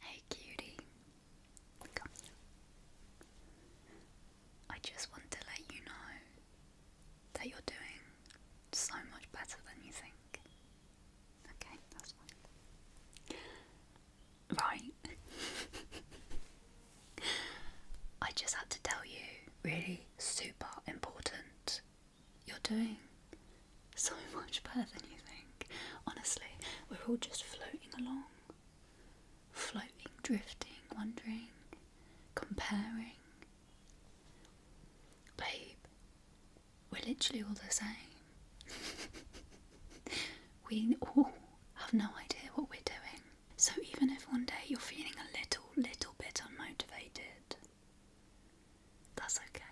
Hey cutie, come here. I just want to let you know that you're doing so much better than you think. Okay, that's fine. Right. I just had to tell you, really super important. You're doing so much better than you think. Honestly, we're all just floating along. Floating, drifting, wondering, comparing. Babe, we're literally all the same. we all have no idea what we're doing. So even if one day you're feeling a little, little bit unmotivated, that's okay.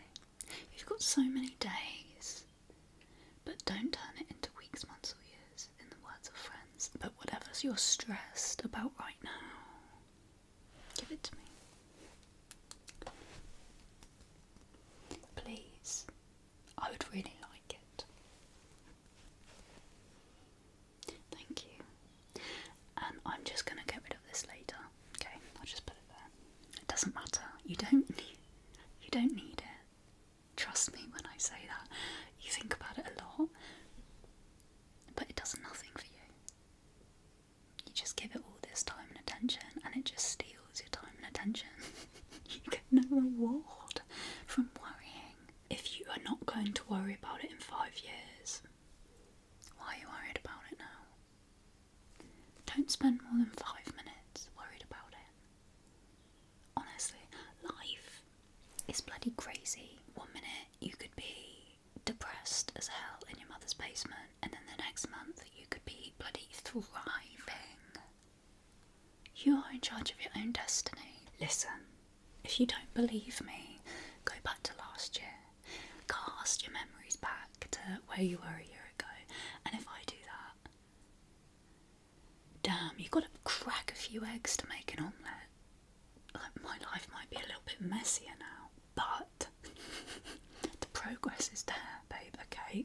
You've got so many days. But don't turn it into weeks, months, or years, in the words of friends. But whatever you're stressed about right now, give it to me. Please, I would really like it. Thank you. And I'm just going to get rid of this later. Okay, I'll just put it there. It doesn't matter. You don't need you don't need it. Trust me when I say that. You think about it a lot, but it does nothing for you. You just give it all this time and attention, and it just steals your time and attention. you get no reward from worrying. If you are not going to worry about it in five years, why are you worried about it now? Don't spend more than five minutes worried about it. Honestly, life is bloody crazy. One minute you could be depressed as hell in your mother's basement, and then the next month you could be bloody thriving. You are in charge of your own destiny. Listen, if you don't believe me, go back to last year cast your memories back to where you were a year ago. And if I do that, damn, you've got to crack a few eggs to make an omelette. Like, my life might be a little bit messier now, but the progress is there, babe, okay?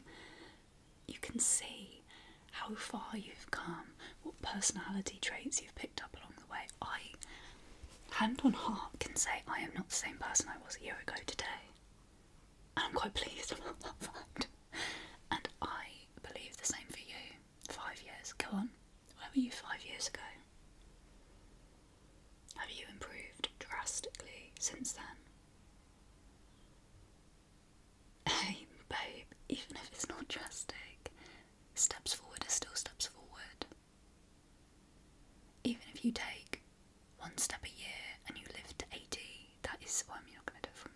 You can see how far you've come, what personality traits you've picked up along the way. I, hand on heart, can say I am not the same person I was a year ago today. And I'm quite pleased about that fact. And I believe the same for you. Five years. Go on. Where were you five years ago? Have you improved drastically since then? Hey, babe, even if it's not drastic, steps forward are still steps forward. Even if you take one step a year and you live to 80, that is, what I mean, you're not going to do it from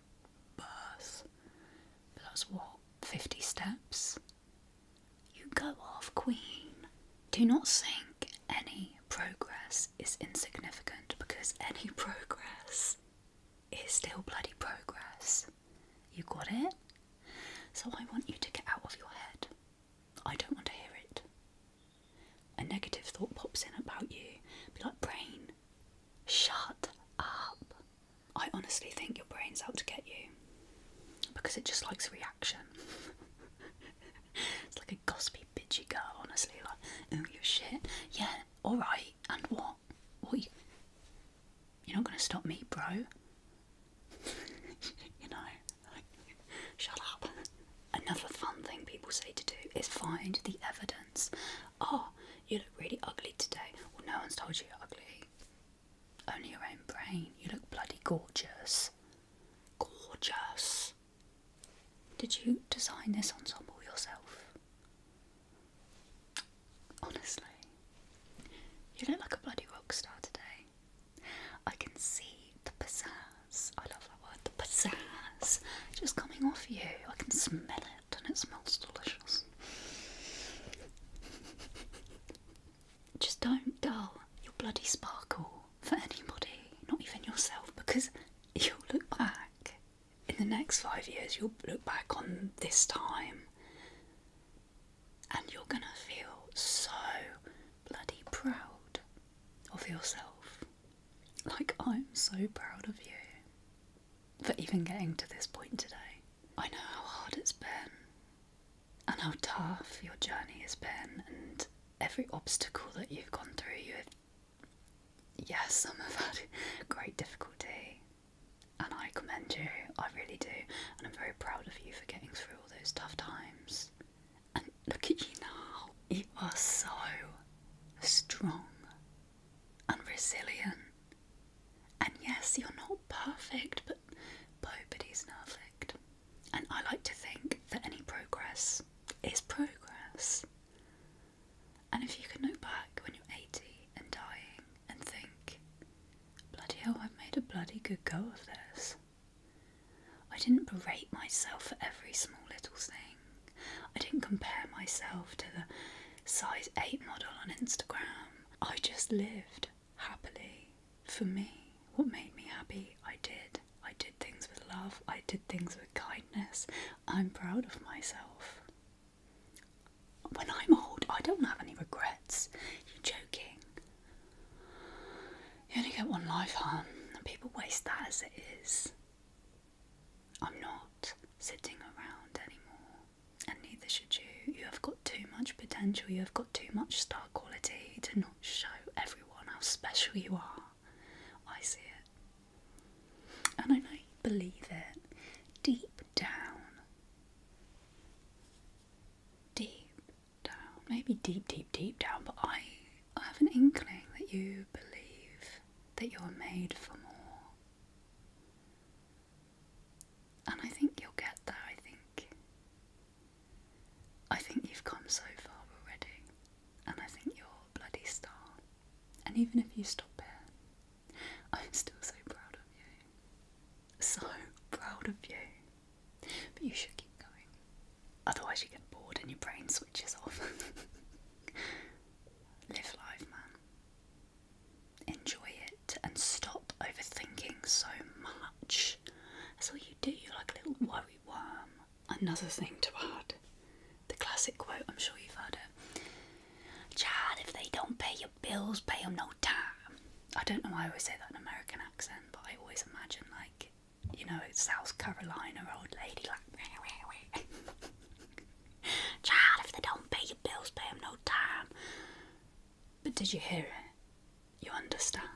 birth, but that's what, 50 steps? You go off, Queen. Do not think any progress is insignificant because any progress is still bloody progress. You got it? So I want you to get out of your head. I don't want to hear it. A negative thought pops in about you. Be like, brain, shut up. I honestly think your brain's out to get you because it just likes reaction. it's like a gossipy, bitchy girl, honestly. Like, oh, you're shit. Yeah, alright. And what? What you're not going to stop me, bro. you know, shut up. Another fun thing people say to do is find the evidence. Oh, you look really ugly today. Well, no one's told you you're ugly. Only your own brain. You look bloody gorgeous. Gorgeous. Did you design this ensemble yourself? Honestly, you look like a bloody rock star today. I can see the pizzazz. I love that word, the pizzazz, just coming off you. I can smell it, and it smells delicious. just don't dull your bloody sparkle for anybody, not even yourself, because you'll look back in the next five years. You'll look back on this time and you're going to feel so bloody proud of yourself. Like, I'm so proud of you for even getting to this point today. I know how hard it's been and how tough your journey has been, and every obstacle that you've gone through, you've Yes, some have had great difficulty, and I commend you, I really do, and I'm very proud of you for getting through all those tough times. And look at you now, you are so strong and resilient. And yes, you're not perfect, but nobody's perfect. And I like to think that any progress is progress. And if you can look back when you're 80 and dying and think, bloody hell, I've made a bloody good go of this. I didn't berate myself for every small little thing. I didn't compare myself to the size 8 model on Instagram. I just lived happily for me. What made me happy, I did. I did things with love, I did things with kindness. I'm proud of myself. When I'm old, I don't have any regrets. You're joking. You only get one life, huh? And people waste that as it is. I'm not sitting around anymore, and neither should you. You have got too much potential, you have got too much star quality to not show everyone how special you are. I see it. And I know you believe it deep down. Deep down. Maybe deep, deep, deep down, but I, I have an inkling that you believe that you're made for more. And I think you'll get there, I think. I think you've come so far already, and I think you're a bloody star. And even if you stop it, I'm still so proud of you. So proud of you. But you should keep going. Otherwise, you get bored and your brain switches off. Live life, man. Enjoy it and stop overthinking so much. That's all you do. You're like a little worry worm Another thing to add the classic quote, I'm sure you've heard it. "Child, if they don't pay your bills, pay them no time. I don't know why I always say that in American accent, but I always imagine, like, you know, South Carolina old lady, like, if they don't pay your bills, pay no time. But did you hear it? You understand?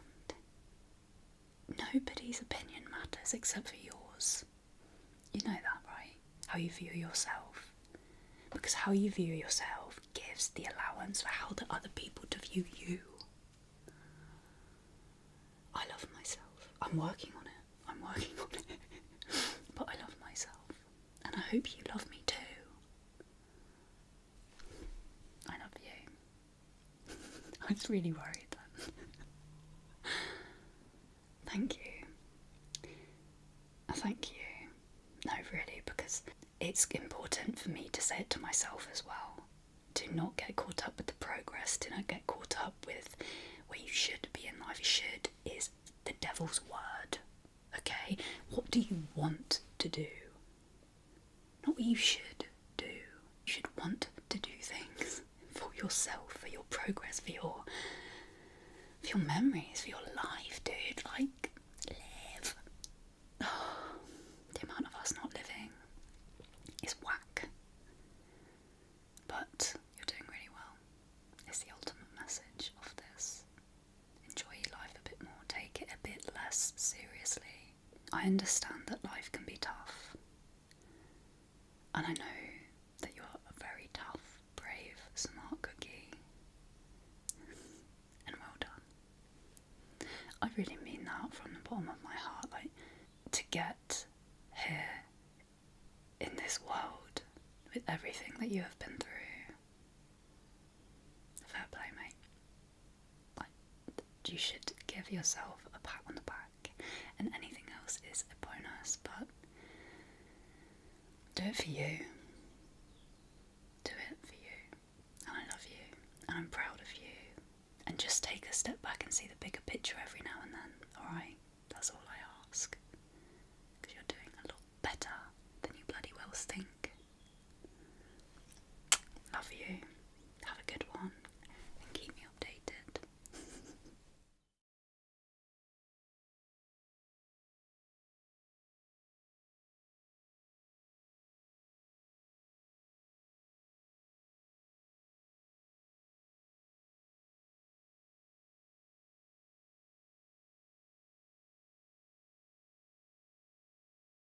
Nobody's opinion matters except for yours. You know that, right? How you view yourself. Because how you view yourself gives the allowance for how the other people to view you. I love myself. I'm working on it. I'm working on it. but I love myself. And I hope you love me too. I love you. I was really worried thank you. Thank you. No, really, because it's important for me to say it to myself as well. Do not get caught up with the progress, do not get caught up with where you should be in life. Should is the devil's word. Okay? What do you want to do? Not what you should do. You should want to do things for yourself, for your progress, for your for your memories, for your life, dude. Like live. the amount of us not living is whack. But you're doing really well. It's the ultimate message of this. Enjoy your life a bit more, take it a bit less seriously. I understand that life can be tough, and I know that you're a very tough, brave, smart cookie. and well done. I really mean that from the bottom of my heart. Like, to get here in this world with everything that you have been through. Fair play, mate like you should give yourself a pat on the back, and anything else is a bonus, but do it for you. Do it for you. And I love you, and I'm proud of you. And just take a step back and see the bigger picture every now and then, alright? That's all I ask. Because you're doing a lot better than you bloody well think. Love you. Have a good one and keep me updated.